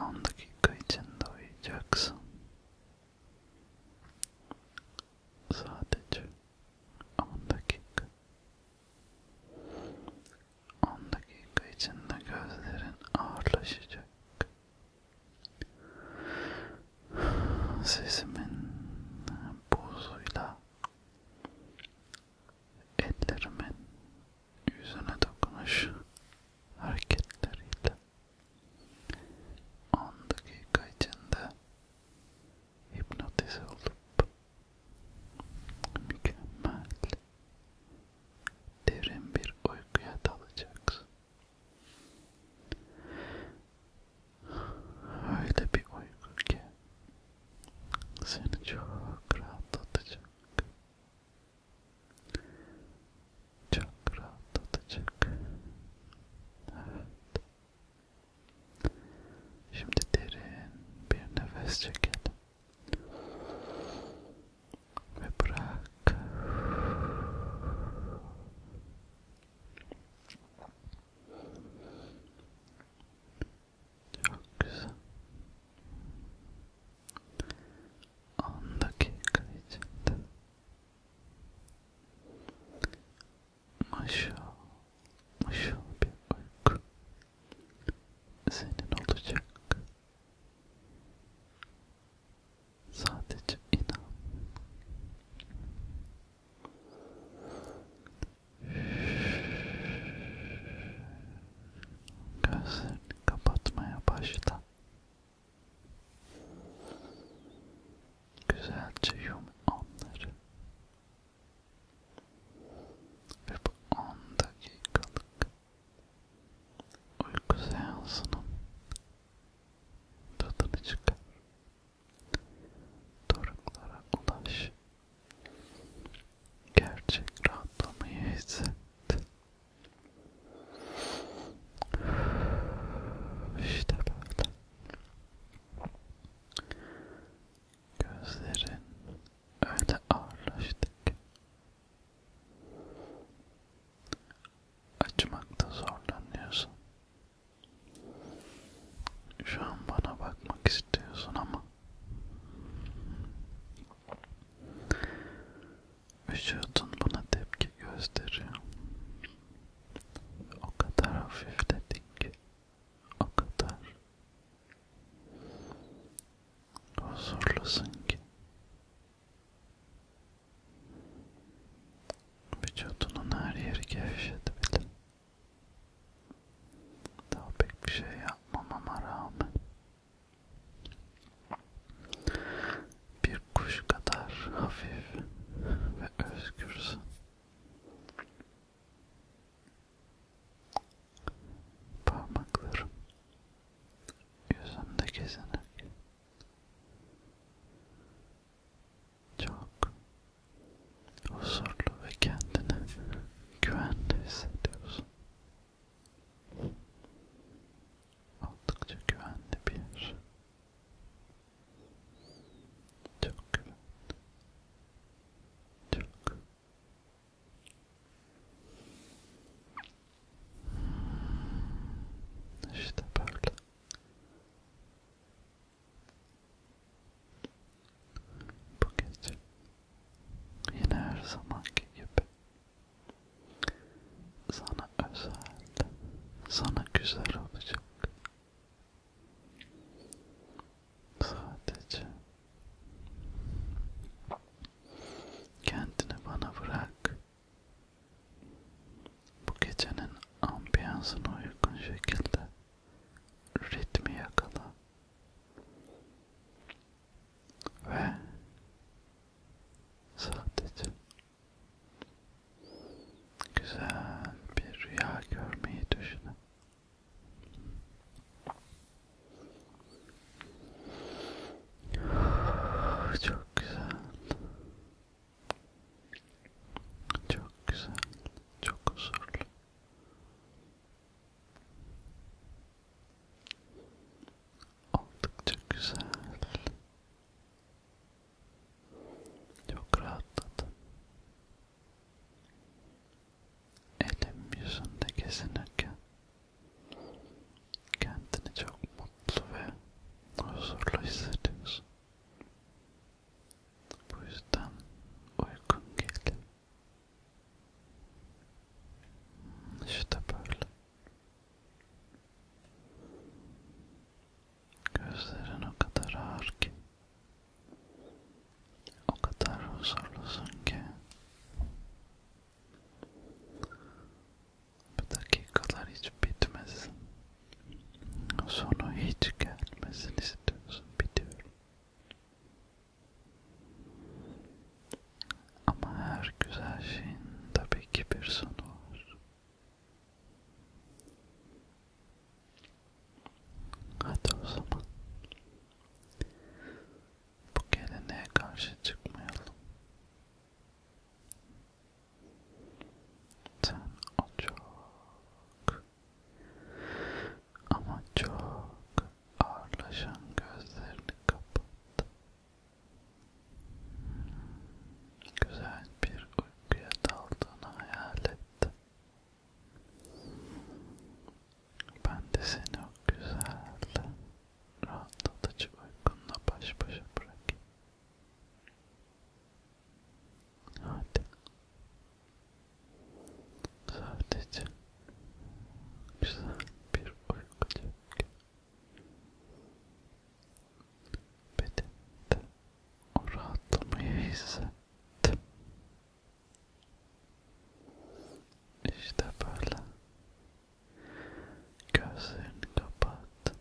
10 dakika içinde uyuyacaksın. Sadece 10 dakika. 10 dakika içinde gözlerin ağırlaşacak. Sesimin buzuyla ellerimin yüzüne dokunuş hareketleriyle 10 dakika içinde hipnotize olup mükemmel derin bir uykuya dalacaksın. Öyle bir uyku ki seni çok rahatlatacak. Çok rahatlatacak. Evet. Şimdi derin bir nefes çekelim. Ve bırak. Çok güzel. 10 dakika içinde. Maşal, maşal bir uyku senin olacak. Sadece inan. Gözlerini kapatmaya başla. Güzelce yum onları. Ve bu 10 dakikalık uyku seansının tadını çıkar. Doruklara ulaş gerçek rahatlamayı hisset. İşte böyle. Gözlerin öyle ağırlaştık. Açmakta zorlanıyorsun. Şu an bana bakmak istiyorsun ama Vücudun buna tepki gösteriyor. O kadar hafifledin ki, o kadar huzurlusun ki. Vücudunun her yeri gevşedi bile. Daha pek bir şey yapmamama rağmen bir kuş kadar hafif ve özgürsün. Parmaklarım yüzümde gezinirken çok huzurlu ve kendini güvende hissediyorsun. Oldukça güvenli bir yer. Çok güvenli. Çok. İşte böyle. Bu gece yine her zamanki gibi sana özel, sana güzel olacak. Sadece kendini bana bırak. Bu gecenin ambiyansına uygun şekilde ritmi yakala ve sadece güzel bir rüya görmeyi düşünün. Çok güzel. Çok güzel. Çok huzurlu. Oldukça güzel. Çok rahatladım. Elim yüzünde gezinirken kendini çok mutlu ve huzurlu hissediyorsun. Bu yüzden uygun geldi. İşte böyle. Gözlerin o kadar ağır ki, o kadar huzurlusun ki, bu dakikalar hiç bitmez. Sonu hiç gelmesini istiyorsun biliyorum. Ama her güzel şeyin tabii ki bir sonu var. Hadi o zaman. Bu geleneğe karşı çıkmayalım. Sen o çok ama çok ağırlaşan gözlerini kapattı. Güzel bir uykuya daldığını hayal etti. Ben de seni o güzel, rahatlatıcı uykunla baş başa bırakayım. Hadi. Sadece güzel bir uyku çek. Bedende o rahatlamayı hissettim. İşte böyle. Gözlerini kapat.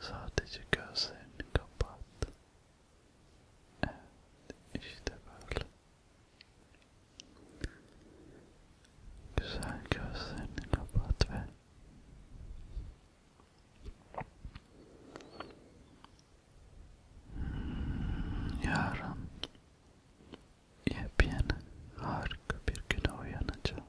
Sadece gözlerini kapat. Evet, işte böyle. Güzel gözlerini kapat ve hmm, yarın yepyeni harika bir güne uyanacağını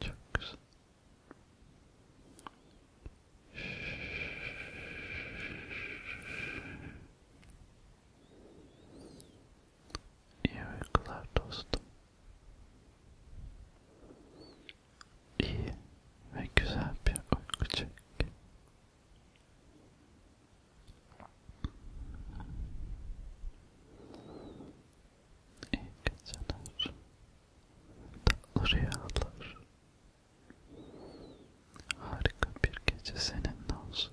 Çok güzel. İyi uykular dostum. İyi ve güzel bir uyku çek. İyi geceler. Tatlı rüyalar. Harika bir gece seninle olsun.